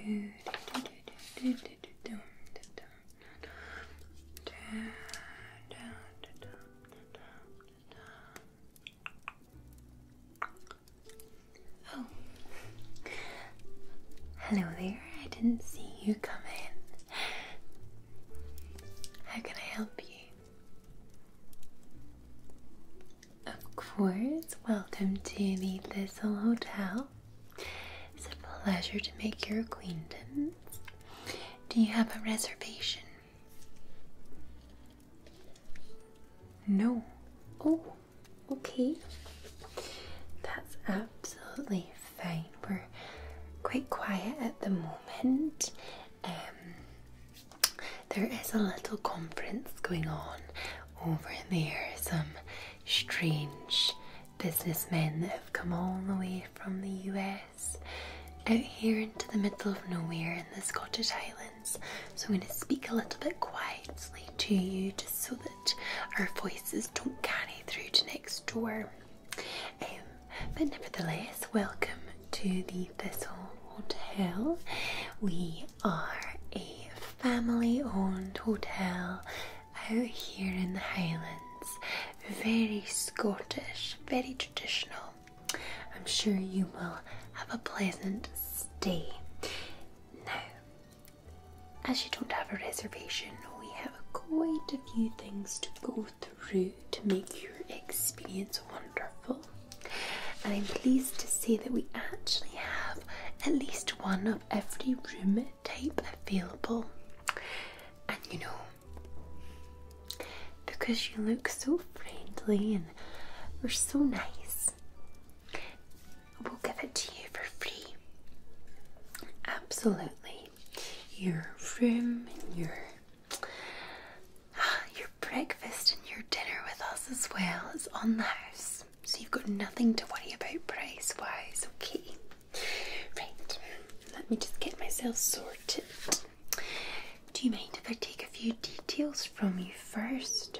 Oh, hello there. I didn't see you come in. How can I help you? Of course, welcome to the Thistle Hotel. It's a pleasure to make your acquaintance. Do you have a reservation? No. Oh, okay. That's absolutely fine. We're quite quiet at the moment. Um, there is a little conference going on over there. Some strange businessmen have come all the way from the US out here into the middle of nowhere in the Scottish Highlands. So I'm going to speak a little bit quietly to you just so that our voices don't carry through to next door. Um, but nevertheless, welcome to the Thistle Hotel. We are a family owned hotel out here in the Highlands. Very Scottish, very traditional. I'm sure you will have a pleasant stay. Now, as you don't have a reservation, we have quite a few things to go through to make your experience wonderful and I'm pleased to see that we actually have at least one of every room type available. And you know, because you look so friendly and we're so nice, we'll give it to you for free. Absolutely. Your room and your ah, your breakfast and your dinner with us as well. is on the house, so you've got nothing to worry about price wise, okay? Right, let me just get myself sorted. Do you mind if I take a few details from you first?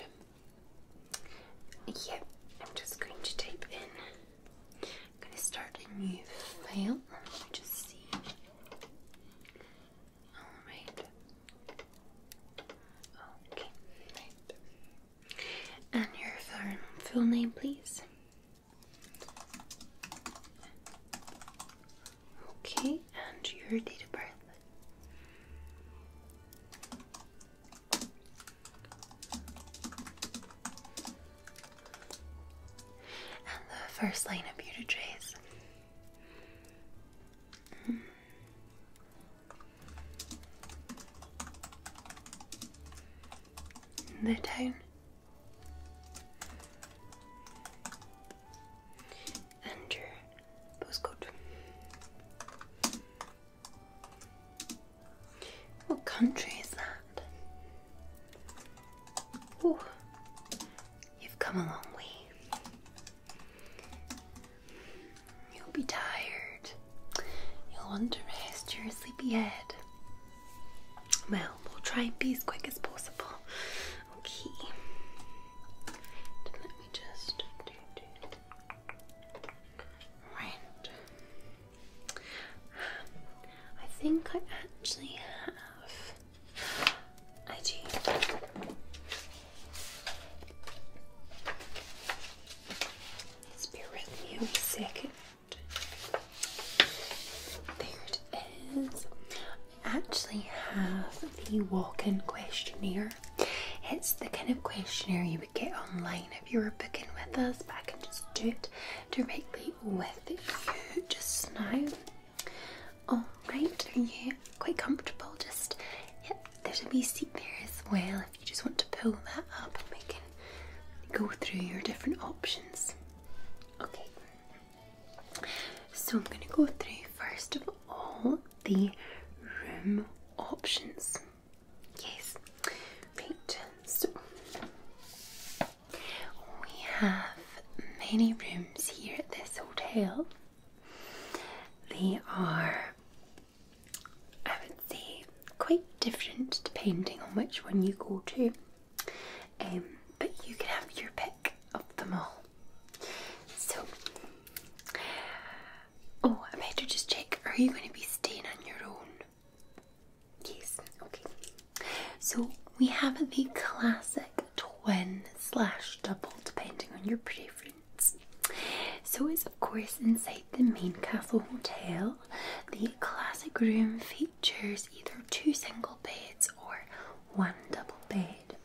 Yep, I'm just going to type in. I'm going to start a new file. just see. Alright. Okay. And your full name, please. Okay, and your date of birth. And the first line of your address. The town. And your postcode. What country is that? Oh, you've come a long way. You'll be tired. You'll want to rest your sleepy head. Well, we'll try and be as quick as possible. Okay. Let me just Right. I think I actually have IG. let There it is. I actually have the walk-in questionnaire. It's the kind of questionnaire you would get online if you were booking with us, but I can just do it directly with you just now. Oh, all right, are you quite comfortable? Just yep. there's a wee seat there as well. If you just want to pull that up, we can go through your different options. Okay. So I'm going to go through first of all the room options. Yes. Right. So we have many rooms here at this hotel. They are, I would say, quite different depending on which one you go to, um, but you can have your pick of them all. So, oh, I better just check are you going to be staying on your own? Yes, okay. So, we have the classic twin slash double depending on your preference. So it's of course inside the main castle hotel. The classic room features either two single beds or one double bed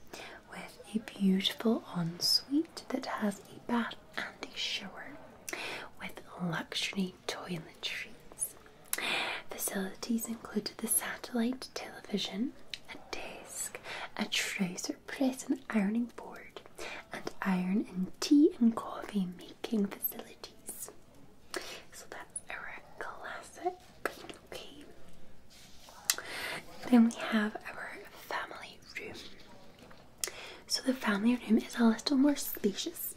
with a beautiful ensuite that has a bath and a shower with luxury toiletries. Facilities include the satellite television, a desk, a trouser press and ironing board and iron in tea and coffee making facilities. So that's our classic. Okay. Then we have our family room. So the family room is a little more spacious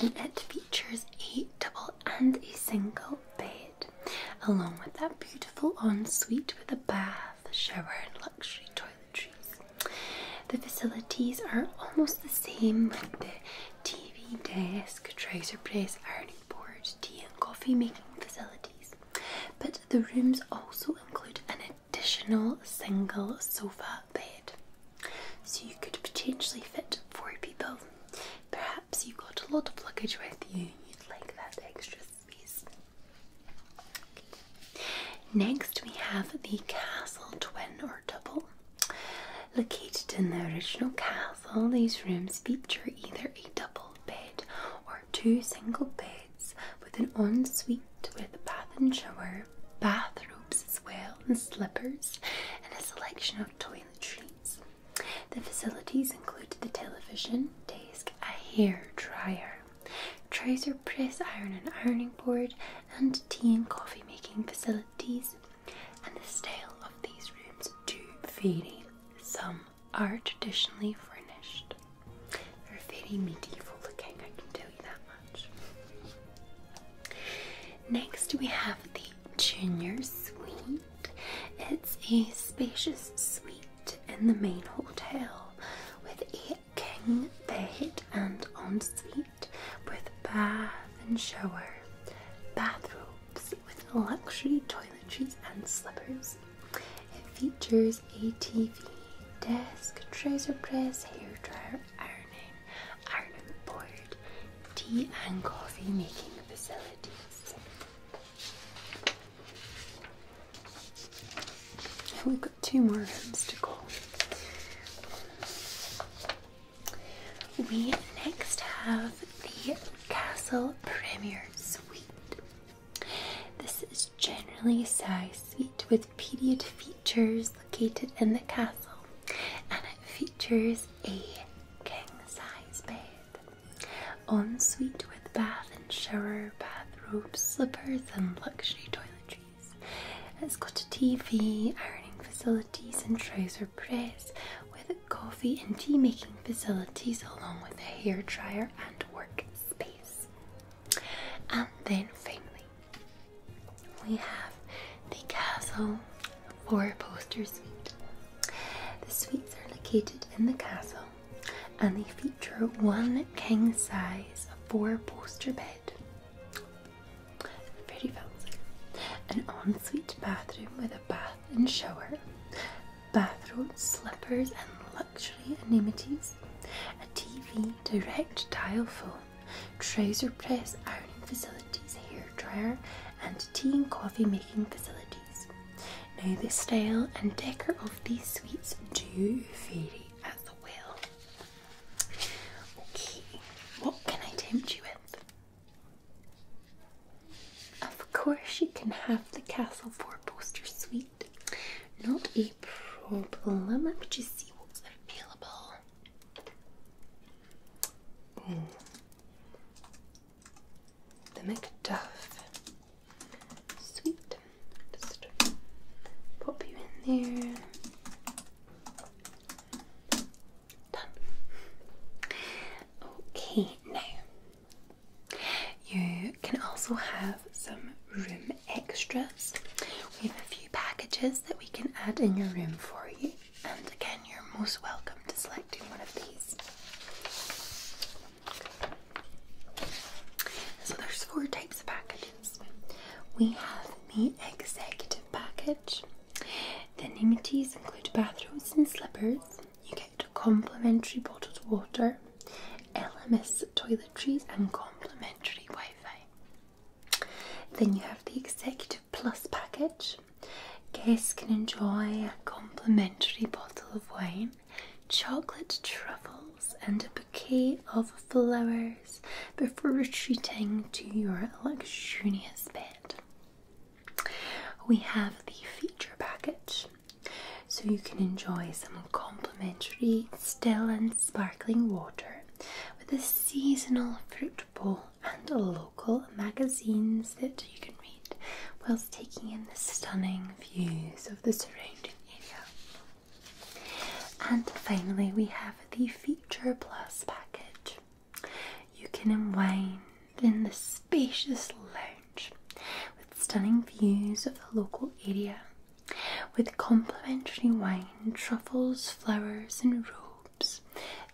and it features a double and a single bed, along with that beautiful ensuite with a bath, shower, and luxury toiletries. The facilities are almost the same with the TV, desk, dresser, place, ironing board, tea and coffee making facilities, but the rooms also include an additional single sofa bed. So you could potentially fit four people. Perhaps you have got a lot of luggage with you, you'd like that extra space. Next, we have the castle twin or double. Located in the original castle, these rooms feature either a double bed or two single beds with an ensuite with a bath and shower, bathrobes as well, and slippers, and a selection of toiletries. The facilities include the television, a hair dryer, trouser press, iron and ironing board, and tea and coffee making facilities. And the style of these rooms do vary. Some are traditionally furnished. They're very medieval looking, I can tell you that much. Next, we have the junior suite. It's a spacious suite in the main hotel with a king bed and ensuite with bath and shower, bathrooms with luxury toiletries and slippers. It features a TV, desk, trouser press, hairdryer, ironing, ironing board, tea and coffee making facilities. We've got two more rooms to go. We next have the Castle Premier Suite. This is generally a size suite with period features located in the castle, and it features a king size bed ensuite with bath and shower, bathrobe, slippers, and luxury toiletries. It's got a TV, ironing facilities, and trouser press with coffee and tea making facilities, along with a hair dryer and work space. And then finally, we have the Castle Four Poster Suite. The suites are located in the castle and they feature one king size four poster bed. Very fancy. An ensuite bathroom with a bath and shower, bathrobes, slippers, and luxury amenities, a TV, direct dial phone, trouser press, ironing facilities, hair dryer, and tea and coffee making facilities. Now the style and decor of these sweets do vary at the well. Okay, what can I tempt you with? Of course you can have the Castle Four Poster Suite. Not a problem. Let me just see what's available. Hmm the Macduff. Sweet. Just pop you in there. Done. Okay, now you can also have some room extras. We have a few packages that we can add in your room for you, and again, you're most welcome to selecting one of these. So there's four types of packages. We have the executive package. The amenities include bathrooms and slippers. You get complimentary bottled water, LMS toiletries, and complimentary Wi-Fi. Then you have the executive plus package. Guests can enjoy a complimentary bottle of wine, chocolate truffles, and a bouquet of flowers before retreating to your luxurious bed. We have the feature package, so you can enjoy some complimentary still and sparkling water with a seasonal fruit bowl and local magazines that you can read whilst taking in the stunning views of the surrounding area. And finally, we have the Feature Plus package. You can unwind in the spacious lounge with stunning views of the local area with complimentary wine, truffles, flowers, and robes.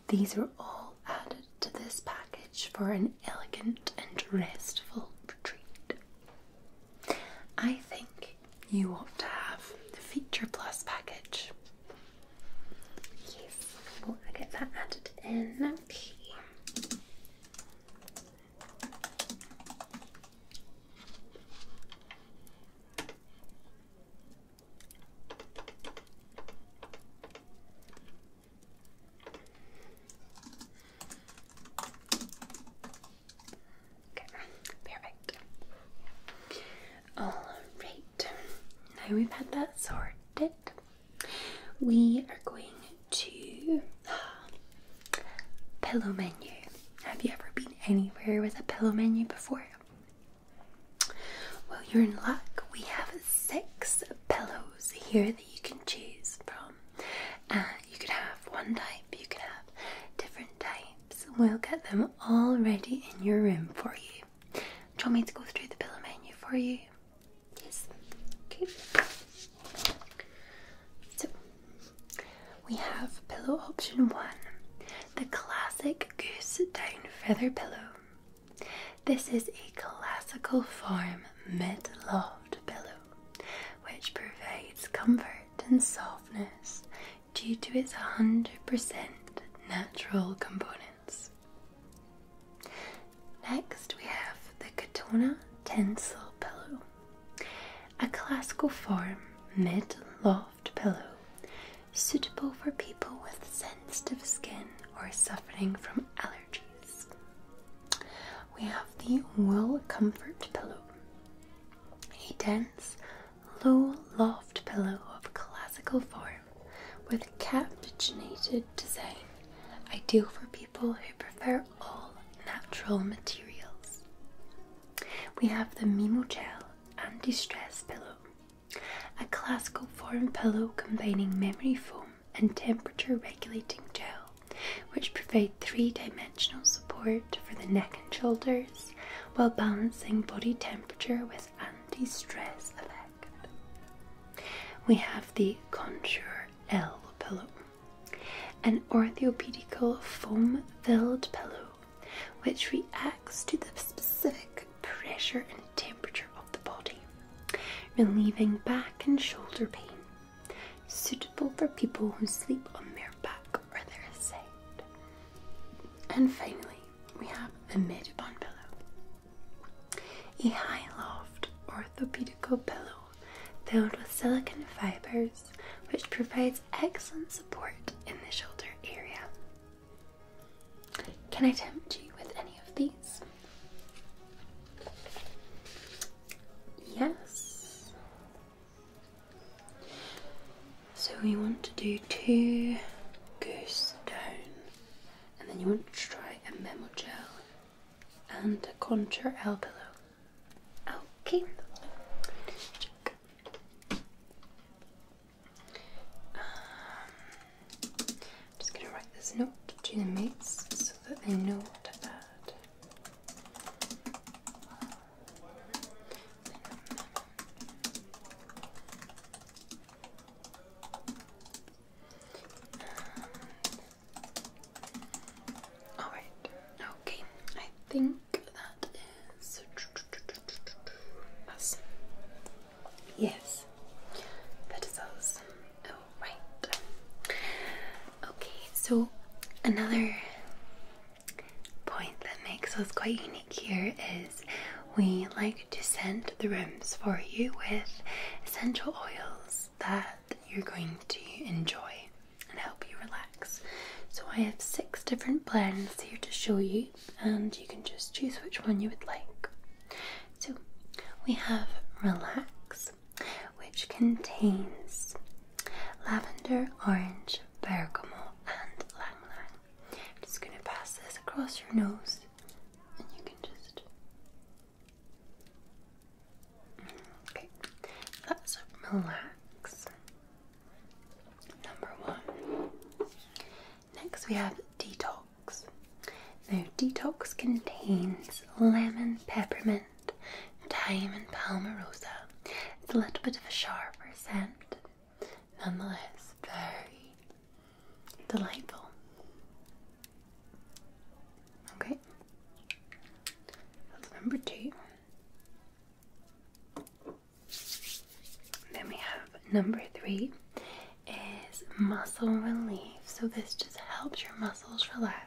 These are all added to this package for an elegant and restful retreat. I think you ought to have the Feature Plus package. Yes, well, I get that added in. Okay perfect. Alright, now we've had that sorted, we are going to uh, pillow menu. Have you ever been anywhere with a pillow menu before? Well, you're in luck. We have six pillows here that you can choose from you could have one type, you could have different types. We'll get them all ready in your room for you. Do you want me to go through the pillow menu for you? Yes. Okay. So we have pillow option one, the classic goose down feather pillow. This is a classical form mid-loft pillow, which provides comfort and softness due to its 100% natural components. Next, we have the Katona Tinsel Pillow, a classical form mid-loft pillow suitable for people with sensitive skin or suffering from allergies we have the Wool Comfort Pillow, a dense, low loft pillow of classical form with capuchinated design, ideal for people who prefer all natural materials. We have the Mimo Gel Anti Stress Pillow, a classical form pillow combining memory foam and temperature regulating gel, which provide three dimensional support for the neck and shoulders while balancing body temperature with anti stress effect. We have the Contour L pillow, an orthopedical foam filled pillow which reacts to the specific pressure and temperature of the body, relieving back and shoulder pain suitable for people who sleep on their back or their side. And finally, we have the mid-back pillow, a high loft orthopedic pillow filled with silicone fibers which provides excellent support in the shoulder area. Can I tempt you with any of these? Yes. So we want to do two goose down, and then you want to try a memo gel and a contour L pillow. Okay. I'm just going to write this note to the mates so that they know what to add. Alright, okay, I think that is Yes, that is right. Okay, so another point that makes us quite unique here is we like to send the rooms for you with essential oils that you're going to enjoy and help you relax. So I have six different blends here to show you, and you can just choose which one you would like. So we have Relax, which contains lavender, orange, bergamot, and lang lang. I'm just going to pass this across your nose, and you can just. relax. Number one. Next, we have detox. Now, detox contains lemon, peppermint, thyme, and palmarosa. It's a little bit of a sharper scent, nonetheless, very delightful. Okay, that's number two. Then we have number three is muscle relief. So this just helps your muscles relax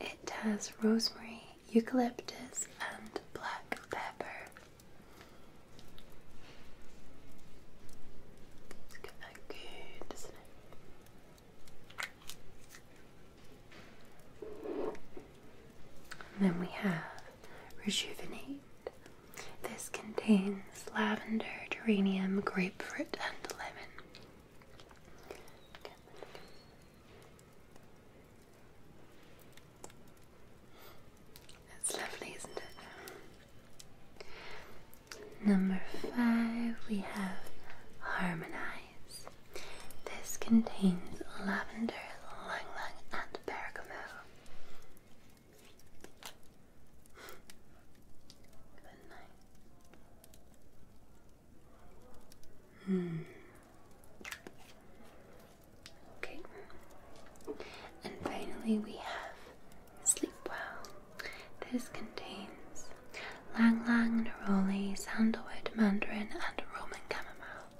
it has rosemary, eucalyptus, and black pepper. it good, isn't it? then we have rejuvenate. This contains lavender, geranium, grapefruit, and lemon. Okay. lovely, isn't it? Number five, we have Harmonize. This contains lavender, lang lang, and bergamot. Good night. Hmm. Okay. And finally, we have Sleep Well. This contains Lang Lang, Neroli, Sandalwood, Mandarin, and Roman Chamomile.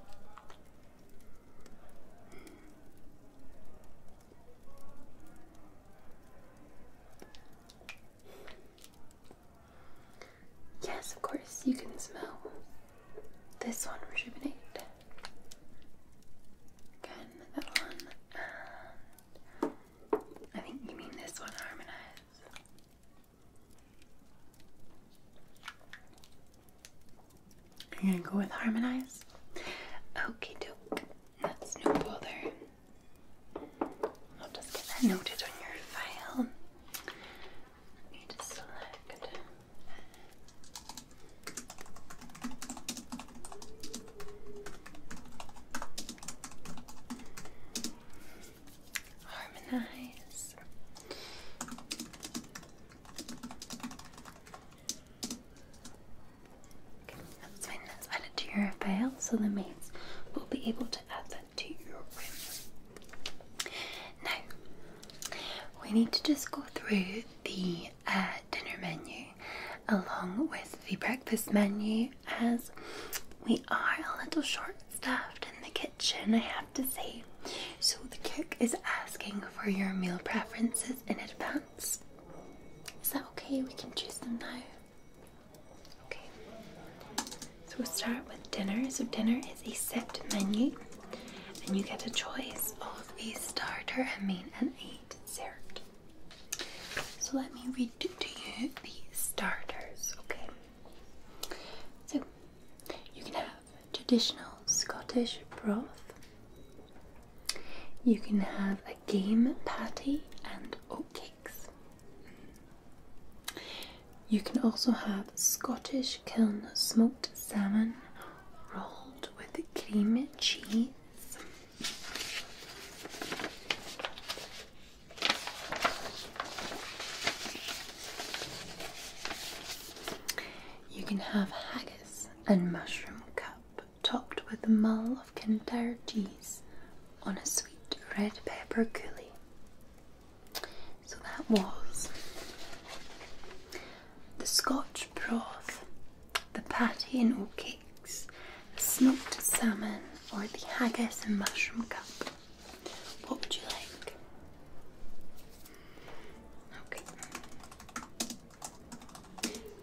Yes, of course, you can smell this one, rejuvenate. Again, that one. I think you mean this one, harmonize. You're gonna go with harmonize? Okay, doke. That's no bother. I'll just get that noted on your file. You need to select. Harmonize. Okay, that's fine. to your file so the maids will be able to add that to your room. Now, we need to just go through the uh, dinner menu along with the breakfast menu as we are a little short staffed in the kitchen, I have to say. So the cook is asking for your meal preferences in advance. Is that okay? We can choose them now. Okay. So we'll start with dinner. So dinner is a set menu, and you get a choice of these starter, a main, and a dessert. So let me read to you the starters. Okay. So you can have traditional Scottish broth. You can have a game patty and ok. You can also have Scottish kiln smoked salmon rolled with cream cheese. You can have haggis and mushroom cup topped with a mull of Kintyre cheese on a sweet red pepper coulis. So that was the Scotch broth, the patty and oat cakes, smoked salmon, or the haggis and mushroom cup. What would you like? Okay.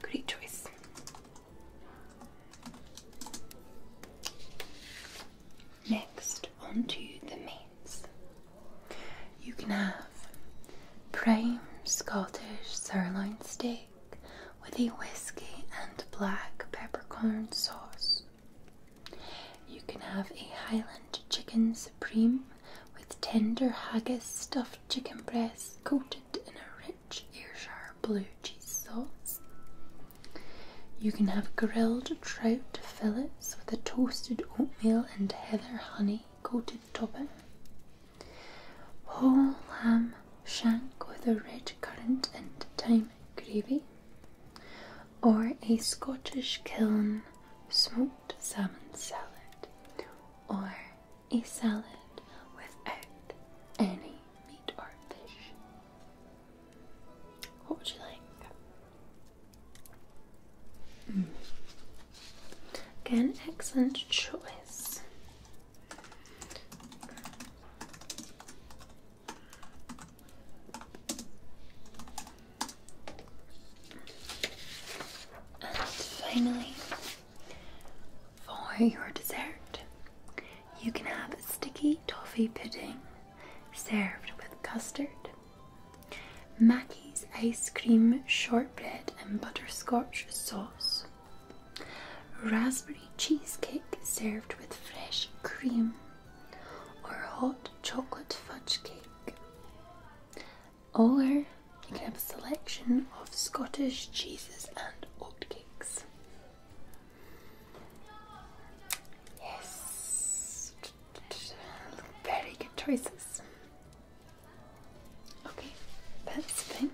Great choice. Next, onto the mains. You can have prime Scottish sirloin steak with a whiskey and black peppercorn sauce. You can have a Highland chicken supreme with tender haggis stuffed chicken breast coated in a rich Ayrshire blue cheese sauce. You can have grilled trout fillets with a toasted oatmeal and heather honey coated topping. Whole lamb shank with a red currant and thyme gravy. Or a Scottish kiln smoked salmon salad. Or a salad without any meat or fish. What would you like? Mm. Again, excellent choice. And finally, for your dessert, you can have sticky toffee pudding served with custard, Mackie's ice cream shortbread and butterscotch sauce, raspberry cheesecake served with fresh cream, or hot chocolate fudge cake. Or you can have a selection of Scottish cheeses and oatcakes. Yes. Very good choices. Okay, that's fine.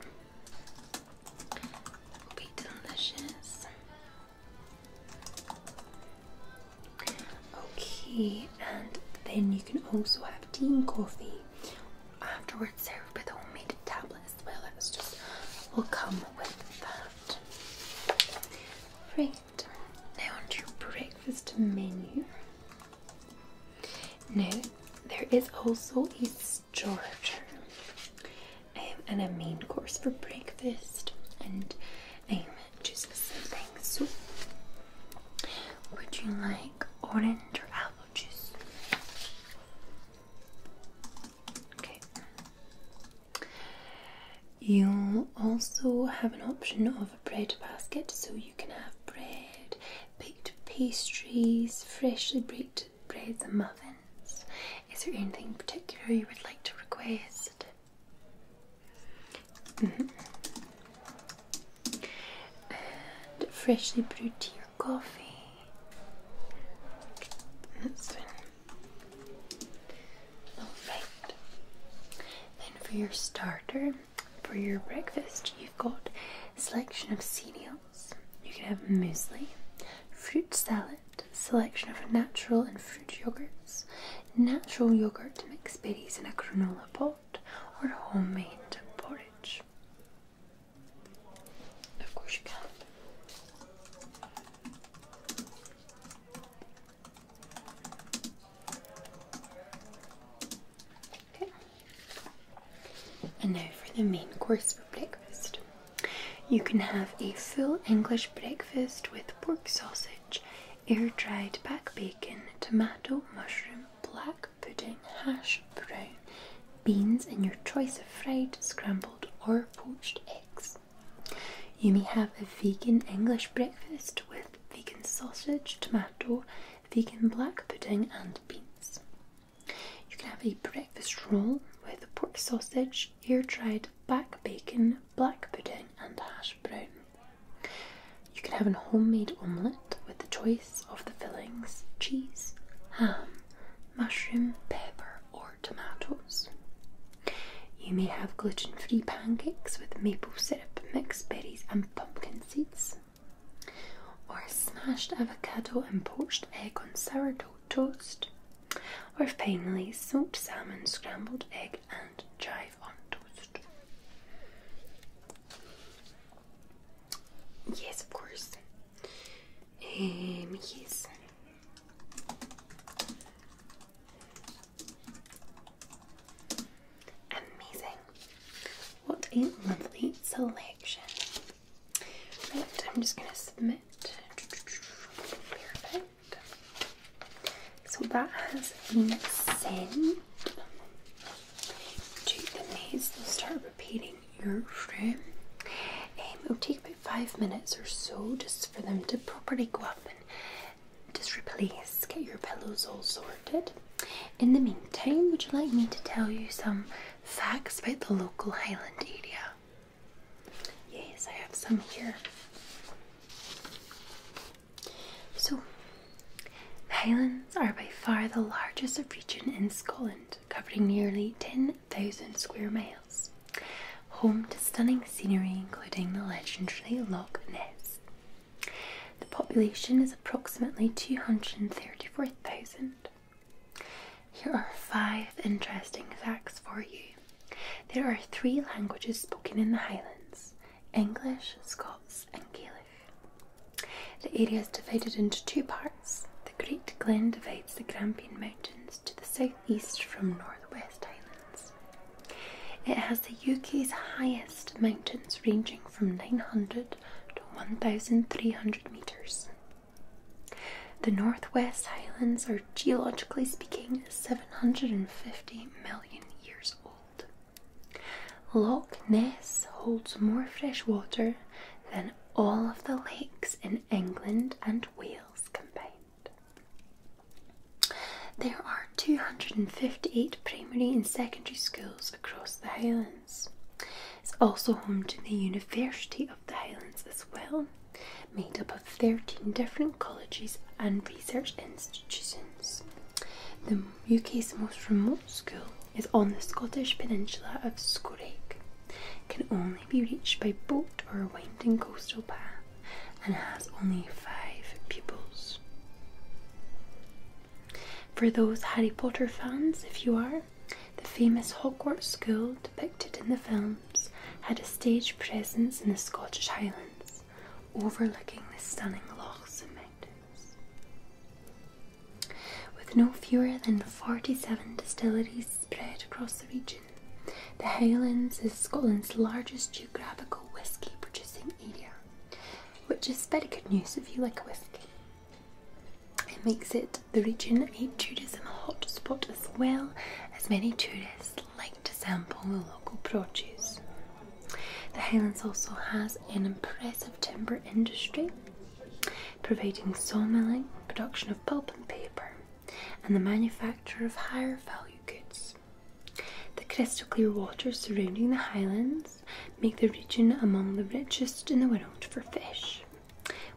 will be delicious. Okay, and then you can also have tea and coffee afterwards served with homemade tablets as well. It was just will come with that. Right, now onto your breakfast menu. Now, there is also a starter um, and a main course for breakfast, and um, just some things. would you like orange or apple juice? You also have an option of a bread basket, so you can have bread, baked pastries, freshly baked breads and muffins. Is there anything particular you would like to request? Mm-hmm. freshly brewed tea or coffee. That's fine. Then for your starter, for your breakfast, you've got selection of cereals. You can have muesli, fruit salad, selection of natural and fruit yogurts, natural yogurt, mixed berries in a granola pot, or homemade porridge. Of course you can. Okay. And now for the main course for breakfast. You can have a full English breakfast with pork sausage, air dried back bacon, tomato, mushroom, black pudding, hash beans and your choice of fried, scrambled or poached eggs. You may have a vegan English breakfast with vegan sausage, tomato, vegan black pudding and beans. You can have a breakfast roll with pork sausage, air-dried back bacon, black pudding and hash brown. You can have a homemade omelette with the choice of the fillings cheese, ham, mushroom, pepper, or tomatoes. You may have gluten free pancakes with maple syrup, mixed berries, and pumpkin seeds, or smashed avocado and poached egg on sourdough toast, or finally, smoked salmon, scrambled egg, and chive on toast. Yes, of course, Eh, Amazing. What a lovely selection. Right, I'm just going to submit. So that has been sent to the maze. start repeating your room. Um, it'll take about five minutes or so just for them to properly go up and just replace, get your pillows all sorted. In the meantime, would you like me to tell you some facts about the local Highland area? Yes, I have some here. So, the Highlands are by far the largest region in Scotland, covering nearly 10 Thousand square miles, home to stunning scenery including the legendary Loch Ness. The population is approximately 234,000. Here are five interesting facts for you. There are three languages spoken in the Highlands English, Scots, and Gaelic. The area is divided into two parts the Great Glen divides the Grampian Mountains to the southeast from Northwest West Islands. It has the UK's highest mountains ranging from 900 to 1,300 metres. The Northwest Highlands are, geologically speaking, 750 million years old. Loch Ness holds more fresh water than all of the lakes in England and Wales combined. There are 258 primary and secondary schools across the Highlands. It's also home to the University of the Highlands as well, made up of 13 different colleges and research institutions. The UK's most remote school is on the Scottish peninsula of Scorrig, can only be reached by boat or a winding coastal path and has only five pupils. For those Harry Potter fans, if you are, the famous Hogwarts School depicted in the films had a stage presence in the Scottish Highlands, overlooking the stunning lochs and mountains. With no fewer than 47 distilleries spread across the region, the Highlands is Scotland's largest geographical whisky producing area, which is very good news if you like a whisky. It makes it the region a tourism hotspot as well, as many tourists like to sample the local produce. The Highlands also has an impressive timber industry, providing sawmilling, production of pulp and paper, and the manufacture of higher value goods. The crystal clear waters surrounding the highlands make the region among the richest in the world for fish,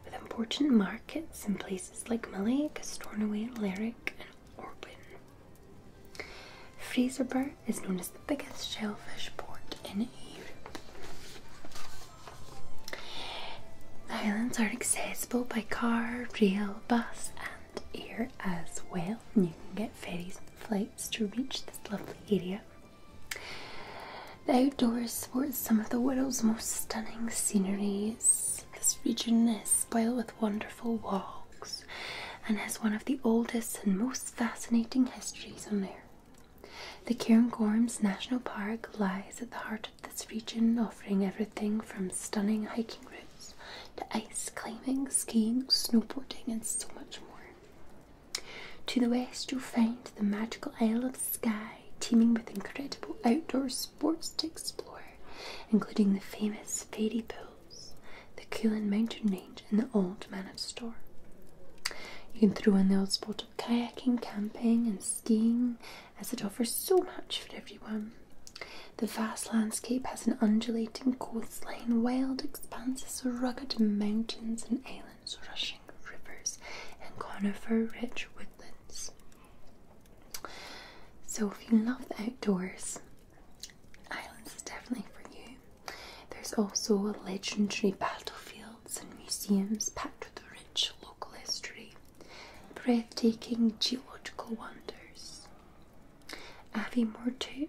with important markets in places like Malay, Stornoway, Lerwick, and Orwin. Fraserburgh is known as the biggest shellfish port in Europe. The islands are accessible by car, rail, bus, and air as well. And you can get ferries and flights to reach this lovely area. The outdoors sports some of the world's most stunning sceneries. This region is spoiled with wonderful walks and has one of the oldest and most fascinating histories on earth. The Cairngorms National Park lies at the heart of this region, offering everything from stunning hiking routes to ice climbing, skiing, snowboarding, and so much more. To the west, you'll find the magical Isle of Skye, teeming with incredible outdoor sports to explore, including the famous Fairy Pools, the Coolin Mountain Range, and the Old Man of Storr. You can throw in the old spot kayaking, camping, and skiing as it offers so much for everyone. The vast landscape has an undulating coastline, wild expanses of rugged mountains and islands, rushing rivers, and conifer rich woodlands. So, if you love the outdoors, Islands is definitely for you. There's also a legendary battlefield and museums packed with rich local history, breathtaking geological wonders. Aviemore too,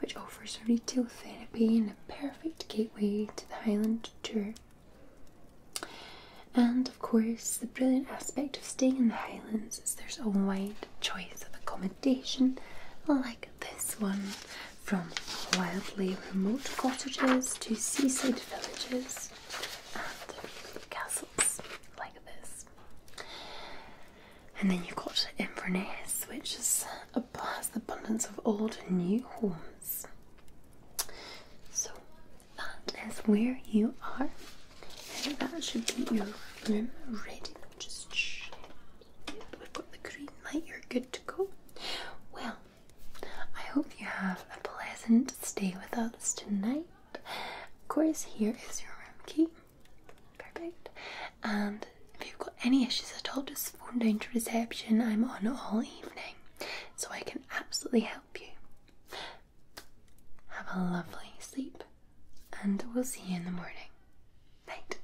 which offers retail therapy and a perfect gateway to the Highland tour. And of course, the brilliant aspect of staying in the Highlands is there's a wide choice of accommodation like this one from wildly remote cottages to seaside villages and castles like this. And then you've got Inverness, which is a, has abundance of old and new homes. So that is where you are. And that should be your room ready. Just check. we've got the green light, you're good to go. Well, I hope you have a pleasant stay with us tonight. Of course, here is your room key. Perfect. And if you've got any issues at all, just phone down to reception. I'm on all evening, so I can absolutely help you. Have a lovely sleep, and we'll see you in the morning. Night.